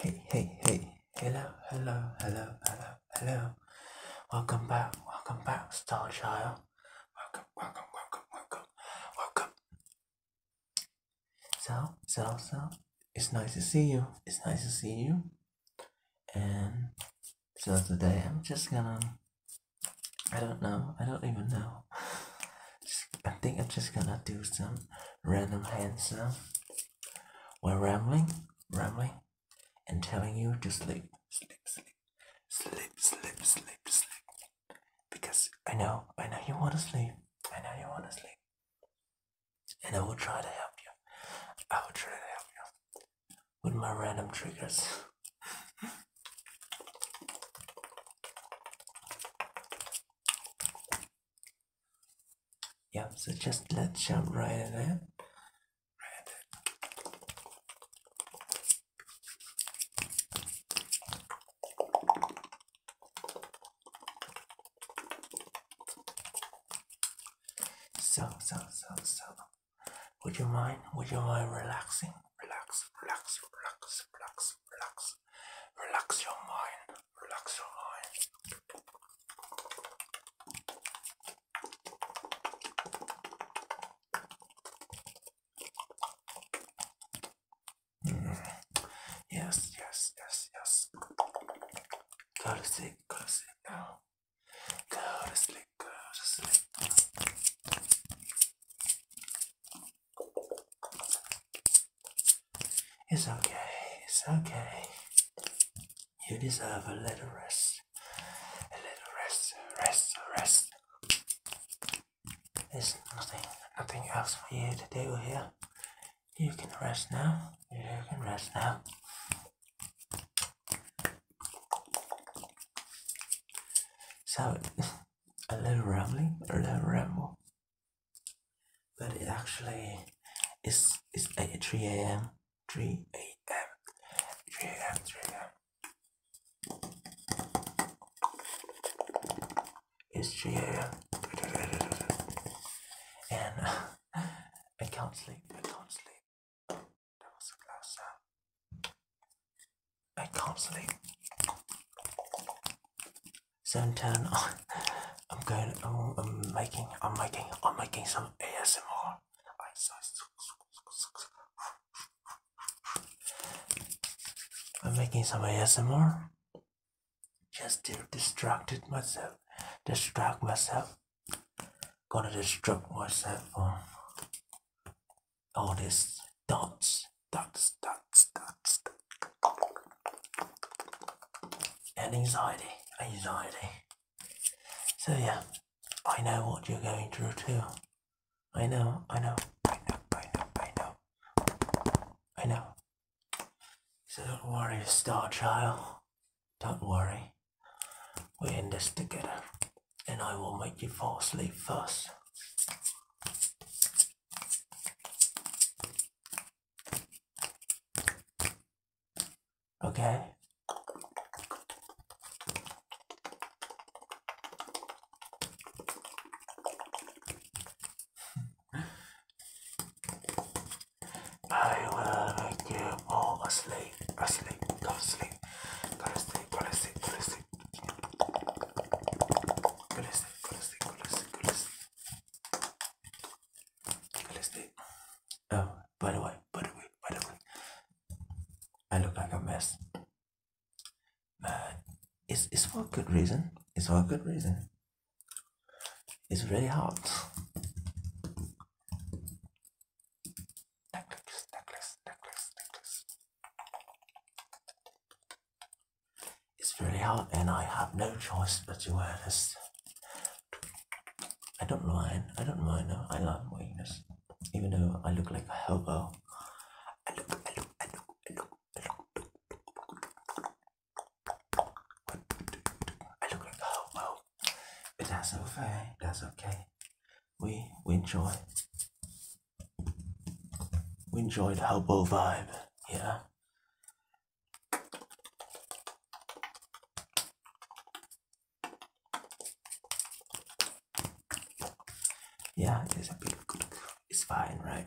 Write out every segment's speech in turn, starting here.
Hey, hey, hey, hello, hello, hello, hello, hello. Welcome back, welcome back, Star Child. Welcome, welcome, welcome, welcome, welcome. So, so, so, it's nice to see you. It's nice to see you. And so today I'm just gonna. I don't know. I don't even know. I think I'm just gonna do some random hand sound while rambling, rambling, and telling you to sleep, sleep, sleep, sleep, sleep, sleep, sleep. Because I know, I know you wanna sleep. I know you wanna sleep. And I will try to help you. I will try to help you with my random triggers. yeah, so just let's jump right in So, so, so, so. Would you mind? Would you mind relaxing? Relax, relax, relax, relax, relax. Relax your mind. Relax your mind. Mm. Yes, yes, yes, yes. Go to sleep, go to sleep now. Go to sleep, go to sleep. It's okay, it's okay. You deserve a little rest. A little rest, rest, rest. There's nothing, nothing else for you to do here. You can rest now. You can rest now. So, a little rambling, a little ramble, but it actually is it's 8, 3 a.m. 3 a.m. 3 a.m. 3 a.m. It's 3 a.m. And. I can't sleep. I can't sleep. That was a glass uh, I can't sleep. Sometime I'm going. I'm, oh, I'm making. I'm making. I'm making some ASMR. I am making some ASMR just to distract myself, distract myself Gonna destruct myself from uh, all these dots, dots, dots, dots, and anxiety, anxiety. So yeah, I know what you're going through too. I know, I know, I know, I know, I know, I know. So don't worry, Star Child. Don't worry. We're in this together. And I will make you fall asleep first. Okay? I will make you fall asleep, asleep, go sleep, go sleep, go sleep, go sleep, go sleep, go sleep, go sleep, go sleep, Oh, by the way, by the way, by the way, I look like a mess, but it's it's for a good reason. It's for a good reason. It's really hard. It's really hard, and I have no choice but to wear this. I don't mind. I don't mind. I love wearing this, even though I look like a hobo. I I look, I look, I look. I look like, oh, well, but that's okay, that's okay. We, we enjoy, we enjoy the hobo vibe, yeah. Yeah, it's a bit, it's fine, right?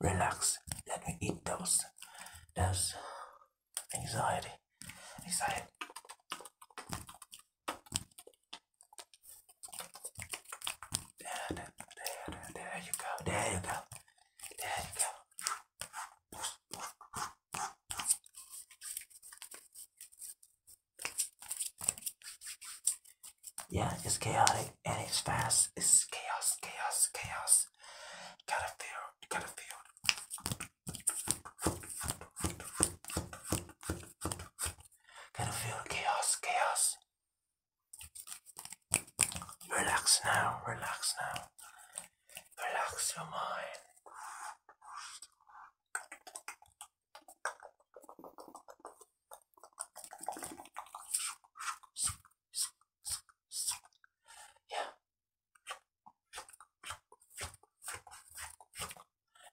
relax let me eat those those anxiety anxiety there, there you go there you go there you go yeah, it's chaotic and it's fast. It's chaos, chaos, chaos. Gotta feel, gotta feel. Gotta feel chaos, chaos. Relax now, relax now. Relax your mind. Yeah.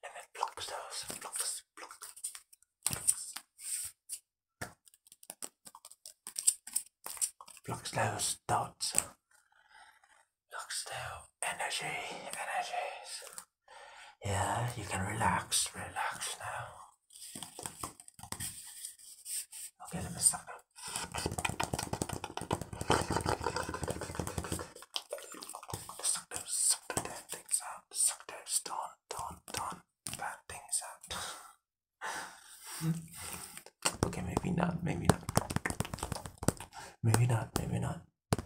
And then blocks those, blocks, blocks. Blocks those dots. Look still. Energy, energies. Yeah, you can relax, relax now. Okay, let me stop Suck those, suck the damn things out. Suck those, don't, don't, don't bad things out. okay, maybe not, maybe not. Maybe not, maybe not.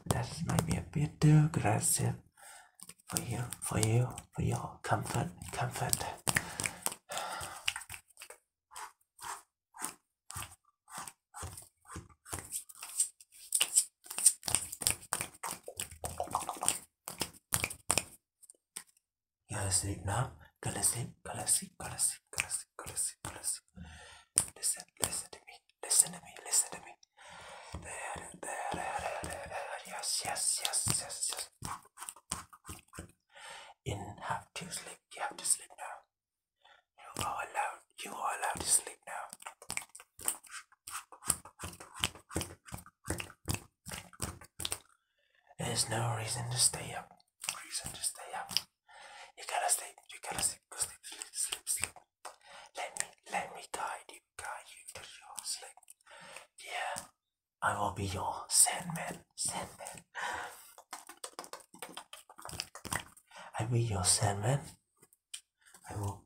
That might be a bit too aggressive for you, for you, for your comfort, comfort. Gotta sleep now. Gotta sleep, gotta sleep, gotta sleep, gotta sleep listen, listen, to me, listen to me, listen to me. There, there, there, there, there. Yes, yes, yes, yes, yes. In have to sleep. You have to sleep now. You are allowed. You are allowed to sleep now. There's no reason to stay up. Reason to stay up. You gotta sleep. You gotta sleep. Go sleep, sleep, sleep, sleep. Let me, let me guide you, guide you to sleep. Yeah, I will be your sandman, sandman. I will be your sandman. I will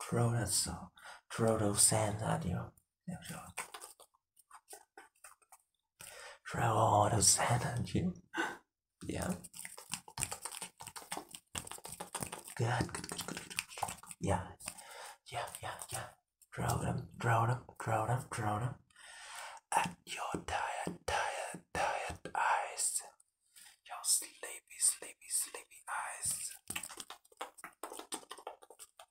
throw that so, those sands at you. Draw all this energy. Yeah. Good, good, good, good. Yeah. Yeah, yeah, yeah. Draw them, draw them, draw them, draw them. At your tired, tired, tired eyes. Your sleepy, sleepy, sleepy eyes.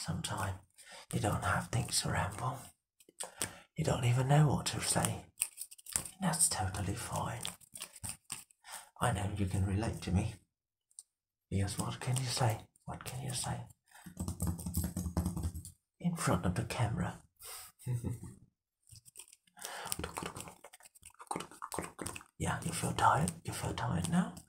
Sometimes you don't have things to ramble. You don't even know what to say. That's totally fine. I know you can relate to me. Yes. what can you say? What can you say? In front of the camera. yeah, you feel tired? You feel tired now?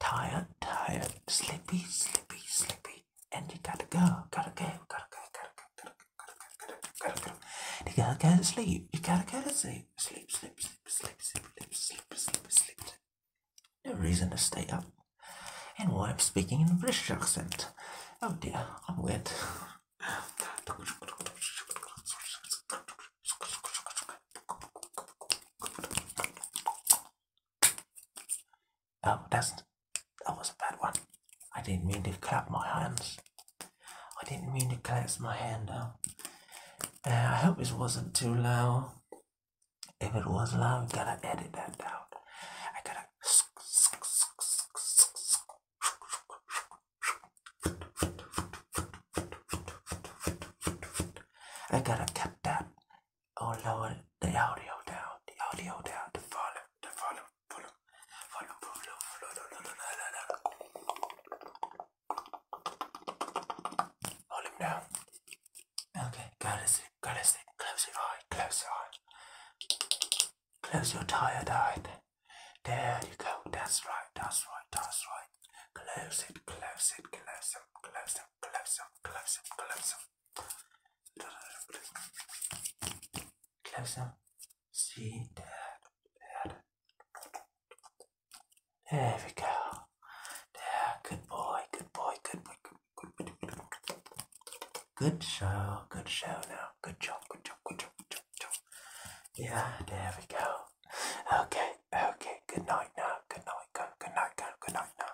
tired, tired, sleepy, sleepy, sleepy, and you gotta go, gotta go, gotta go, gotta go, gotta go, gotta go, gotta go, gotta go. You gotta go to sleep. You gotta go to sleep. Sleep, sleep, sleep, sleep, sleep, sleep, sleep, sleep, sleep. No reason to stay up. And why I'm speaking in a British accent. Oh dear, I'm wet. Oh, that's that was a bad one. I didn't mean to clap my hands. I didn't mean to clasp my hand up. I hope this wasn't too loud. If it was loud, I gotta edit that out. I gotta. I gotta tap that or oh, lower the audio down, the audio down, the volume, the volume, volume, volume, volume, volume, volume down. Okay, gotta see, gotta see. Close your eye, close your eye, close your tired eye. There you go. That's right, that's right, that's right. Close it, close it, close it them, collapse them, collapse them, collapse them, collapse them. Collapse them. See that. that. There we go. There, good boy, good boy, good boy, good boy. Good, good, good show, good show now. Good job, good job, good job, good job, good job. Yeah, there we go. Okay. Okay, okay, good night now. Good night, go, good night, go, good night now.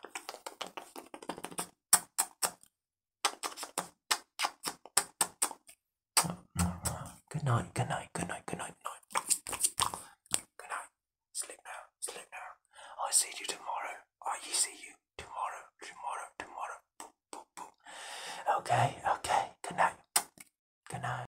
Good night, good night, good night, good night, night. Good night. Sleep now, sleep now. I'll see you tomorrow. I oh, see you tomorrow, tomorrow, tomorrow. Boop, boop, boop. Okay, okay, good night. Good night.